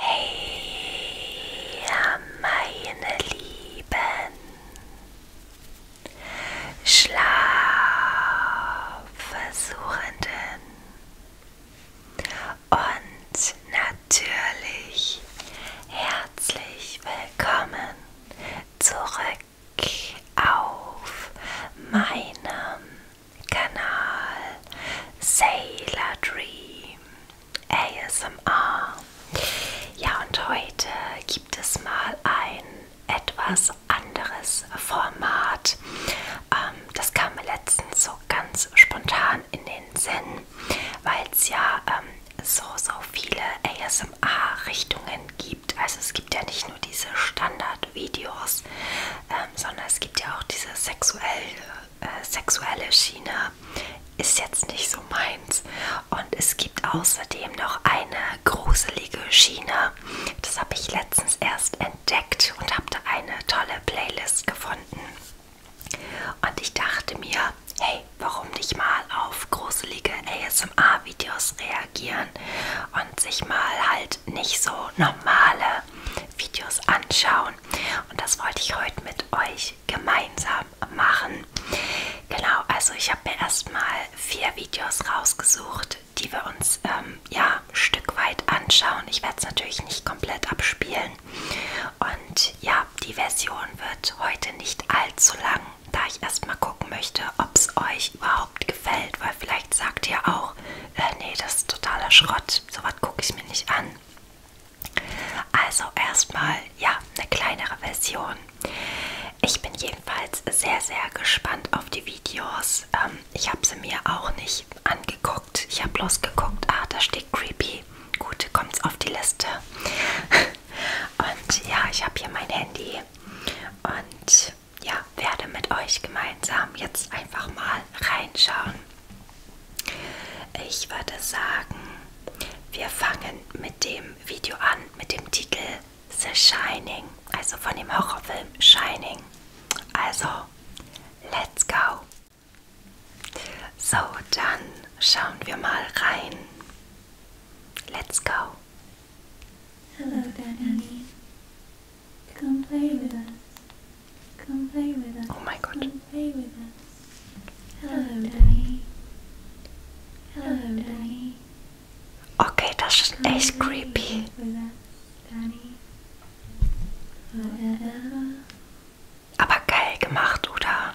Hey, meine Lieben, Schlafversuchenden und natürlich herzlich willkommen zurück auf meinem Kanal Sailor Dream ASMR. Ja, und heute gibt es mal ein etwas anderes Format. Ähm, das kam mir letztens so ganz spontan in den Sinn, weil es ja ähm, so, so viele ASMR-Richtungen gibt gibt. Also es gibt ja nicht nur diese Standardvideos, ähm, sondern es gibt ja auch diese sexuelle, äh, sexuelle Schiene. Ist jetzt nicht so meins. Und es gibt außerdem noch eine gruselige Schiene. Das habe ich letztens erst entdeckt und habe da eine tolle Playlist gefunden. Und ich dachte mir, hey, warum nicht mal auf gruselige ASMR ASMR-Videos reagieren und sich mal halt nicht so normale Videos anschauen. Und das wollte ich heute mit euch gemeinsam machen. Genau, also ich habe mir erstmal vier Videos rausgesucht, die wir uns ähm, ja ein Stück weit anschauen. Ich werde es natürlich nicht komplett abspielen. Und ja, die Version wird heute nicht allzu lang da ich erstmal gucken möchte, ob es euch überhaupt gefällt, weil vielleicht sagt ihr auch, äh, nee, das ist totaler Schrott, sowas gucke ich mir nicht an. Also erstmal, ja, eine kleinere Version. Ich bin jedenfalls sehr, sehr gespannt auf die Videos. Ähm, ich habe sie mir auch nicht angeguckt. Ich habe bloß geguckt, ah, da steht Creepy. Gut, kommt's auf die Liste. Und ja, ich habe hier mein Handy und ja, werde mit euch gemeinsam jetzt einfach mal reinschauen. Ich würde sagen, wir fangen mit dem Video an, mit dem Titel The Shining, also von dem Horrorfilm Shining. Also, let's go! So, dann schauen wir mal rein. Let's go! Hello, Danny. Come play with us. Come play with us. Oh mein Gott. Come play with us. Hello, Danny. Hello, Danny. Okay, das ist echt creepy. Aber geil gemacht, oder?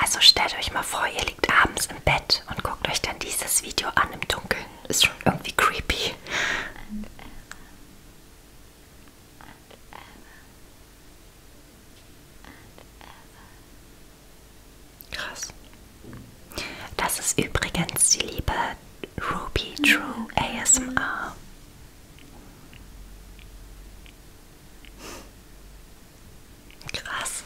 Also stellt euch mal vor, ihr liegt abends im Bett und guckt euch dann dieses Video an im Dunkeln. Ist schon irgendwie creepy. Krass. Das ist übrigens die liebe Ruby True ASMR. Krass.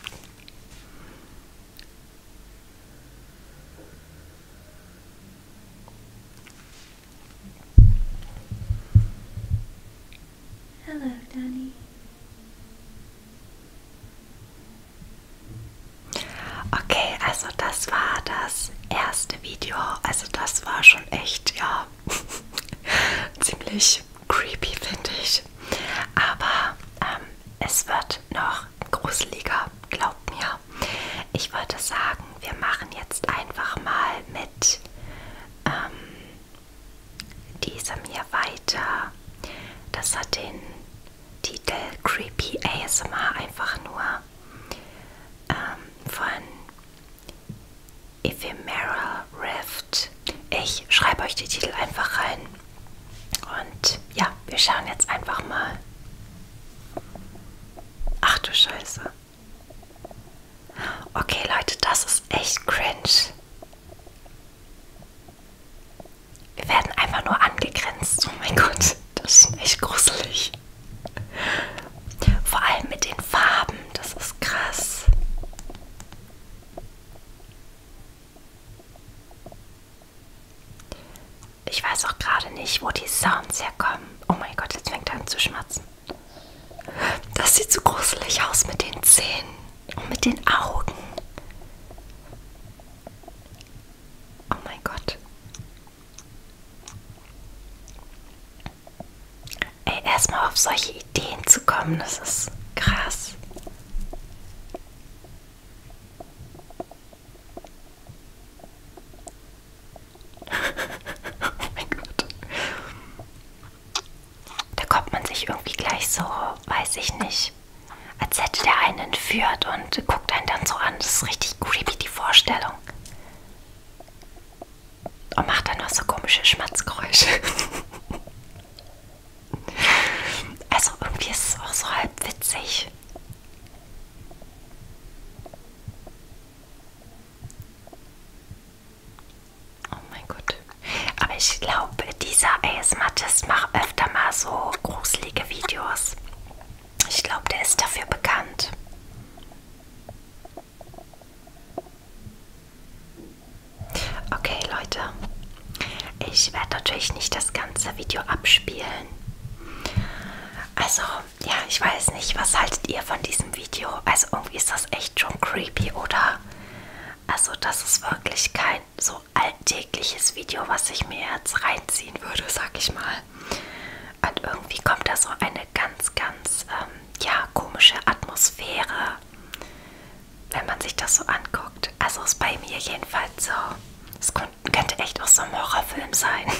Hello, Danny. Okay, also das war das erste Video. Also das war schon echt, ja, ziemlich creepy, finde ich. Aber ähm, es wird noch gruseliger, glaubt mir. Ich würde sagen, wir machen jetzt einfach mal mit ähm, diesem hier weiter. Das hat den Titel Creepy ASMR einfach nur ähm, von Ephemera Rift. Ich schreibe euch die Titel einfach rein. Und ja, wir schauen jetzt einfach mal. Ach du Scheiße. Okay, Leute, das ist echt cringe. Wir werden einfach nur angegrenzt. Oh mein Gott, das ist echt gruselig. Vor allem mit den Farben, das ist krass. Ich weiß auch gerade nicht, wo die Sounds herkommen. Oh mein Gott, jetzt fängt er an zu schmatzen. Das sieht so gruselig aus mit den Zähnen und mit den Augen. Oh mein Gott. Ey, erstmal auf solche Ideen zu kommen, das ist krass. oh mein Gott. Da kommt man sich irgendwie gleich so, weiß ich nicht, als hätte der einen entführt und guckt einen dann so an. Das ist richtig creepy, die Vorstellung. Und macht dann noch so komische Schmatzgeräusche. Also irgendwie ist es auch so halb witzig. Oh mein Gott. Aber ich glaube, dieser ASMartist macht öfter mal so gruselige Videos. Ich glaube, der ist dafür bekannt. Okay, Leute, ich werde natürlich nicht das ganze Video abspielen. Also, ja, ich weiß nicht, was haltet ihr von diesem Video? Also, irgendwie ist das echt schon creepy, oder? Also, das ist wirklich kein so alltägliches Video, was ich mir jetzt reinziehen würde, sag ich mal. Und irgendwie kommt da so eine ganz, ganz, ähm, ja, komische Atmosphäre wenn man sich das so anguckt. Also ist bei mir jedenfalls so. Es könnte echt auch so ein Horrorfilm sein.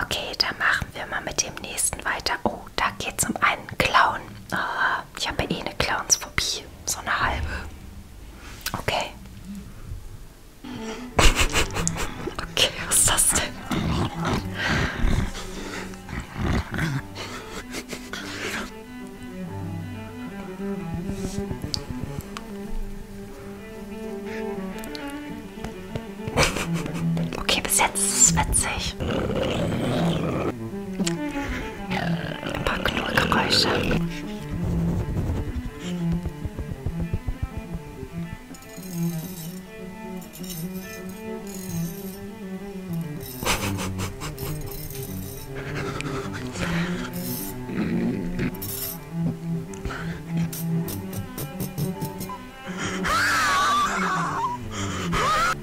Okay, dann machen wir mal mit dem nächsten weiter. Oh, da geht es um einen Clown. Oh, ich habe eh eine Clownsphobie. So eine halbe. Okay. Okay, was ist das denn? Okay, bis jetzt ist es witzig. Ein paar Knurrgeräusche.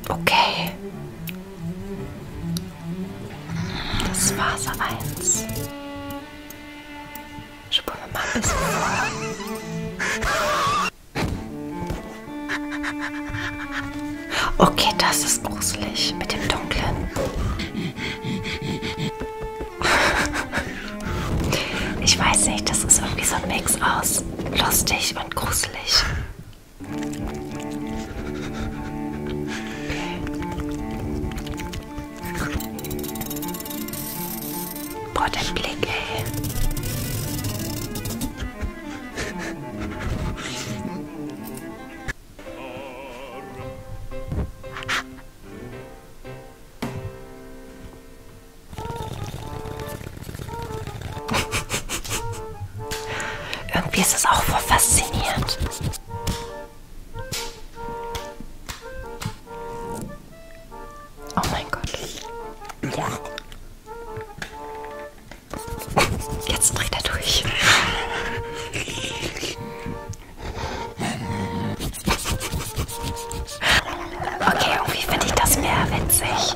Okay. Das Phase 1. Spulen wir mal ein bisschen vor. Okay, das ist gruselig mit dem Dunklen. Ich weiß nicht, das ist irgendwie so ein Mix aus lustig und gruselig. Boah, der Blick, ey. Irgendwie ist das auch voll faszinierend. Oh mein Gott. Ja. Jetzt dreht er durch. Okay, irgendwie finde ich das mehr witzig.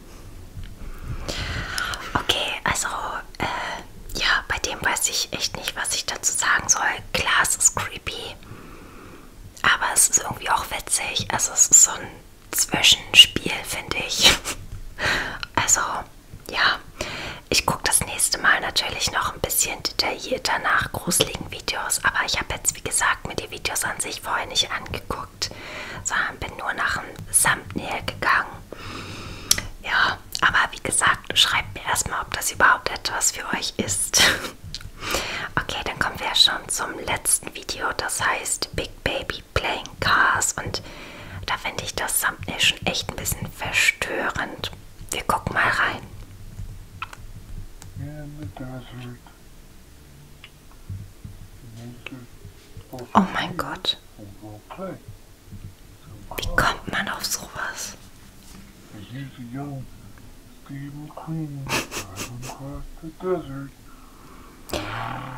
Okay, also äh, ja, bei dem weiß ich echt nicht, was ich dazu sagen soll. Klar, es ist creepy, aber es ist irgendwie auch witzig. Also es ist so ein Zwischenspiel, finde ich. Also ja, ich gucke das nächste Mal natürlich noch ein bisschen detaillierter nach gruseligen Videos, aber ich habe jetzt, wie gesagt, mir die Videos an sich vorher nicht angeguckt geguckt, sondern bin nur nach einem Thumbnail gegangen. Ja, aber wie gesagt, schreibt mir erstmal, ob das überhaupt etwas für euch ist. Okay, dann kommen wir schon zum letzten Video, das heißt Big Baby Playing Cars und da finde ich das Thumbnail schon echt ein bisschen verstörend. Wir gucken mal rein. Yeah, Oh mein Gott. Wie kommt man auf sowas?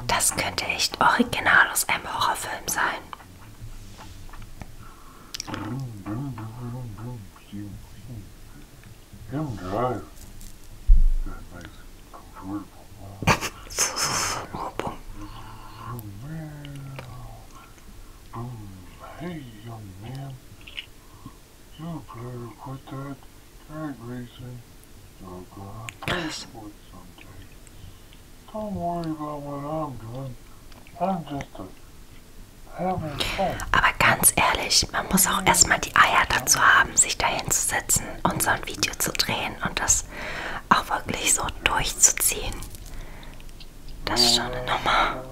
Das könnte echt original aus einem Horrorfilm sein. Aber ganz ehrlich, man muss auch erstmal die Eier dazu haben, sich dahin zu setzen und so ein Video zu drehen und das das auch wirklich so durchzuziehen, das ist schon eine Nummer.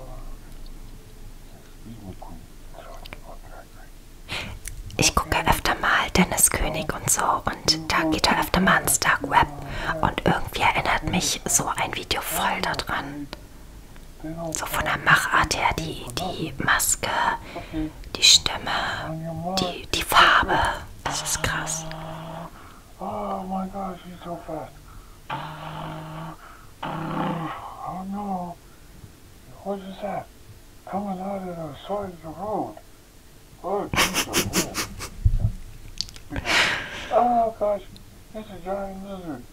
Ich gucke öfter mal Dennis König und so und da geht er öfter mal ins Dark Web und irgendwie erinnert mich so ein Video voll daran. So von der Machart her, die, die Maske, die Stimme, die, die Farbe. Das ist krass. Oh my God, she's so fast. Oh no. What is that? Coming out of the side of the road. Oh, Jesus. oh gosh, it's a giant lizard.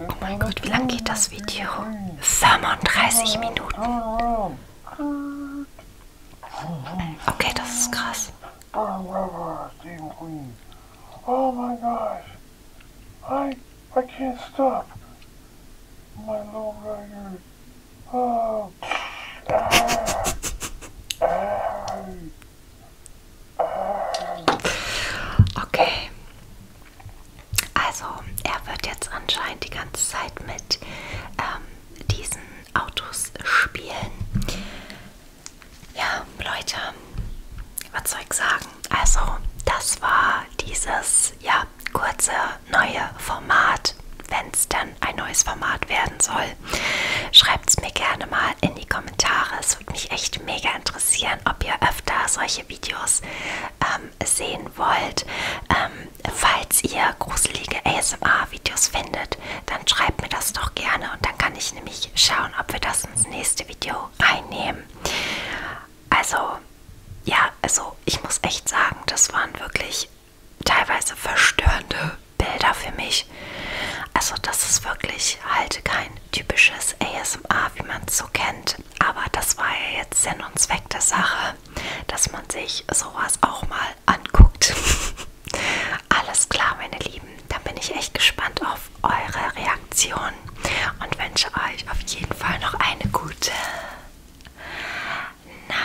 Oh mein Gott, wie lang geht das Video? 35 Minuten. Okay, das ist krass. Oh my gosh. I I can't stop. My low rider. Oh. Okay. Also, er wird jetzt anscheinend die ganze Zeit mit ähm, diesen Autos spielen. Ja, Leute, was soll ich sagen? Also, das war dieses ja kurze neue Format. Wenn es dann ein neues Format werden soll, schreibt es mir gerne mal in die Kommentare. Es würde mich echt mega interessieren, ob ihr öfter solche Videos ähm, sehen wollt. Ähm, falls ihr gruselige ASMR-Videos findet, dann schreibt mir das doch gerne und dann kann ich nämlich schauen, ob wir das ins nächste Video reinnehmen. Also, ja, also ich muss echt sagen, das waren wirklich teilweise verstörende Bilder für mich. Also das ist wirklich halt kein typisches ASMR, wie man es so kennt. Aber das war ja jetzt Sinn und Zweck der Sache dass man sich sowas auch mal anguckt. Alles klar, meine Lieben. Dann bin ich echt gespannt auf eure Reaktion und wünsche euch auf jeden Fall noch eine gute Nacht.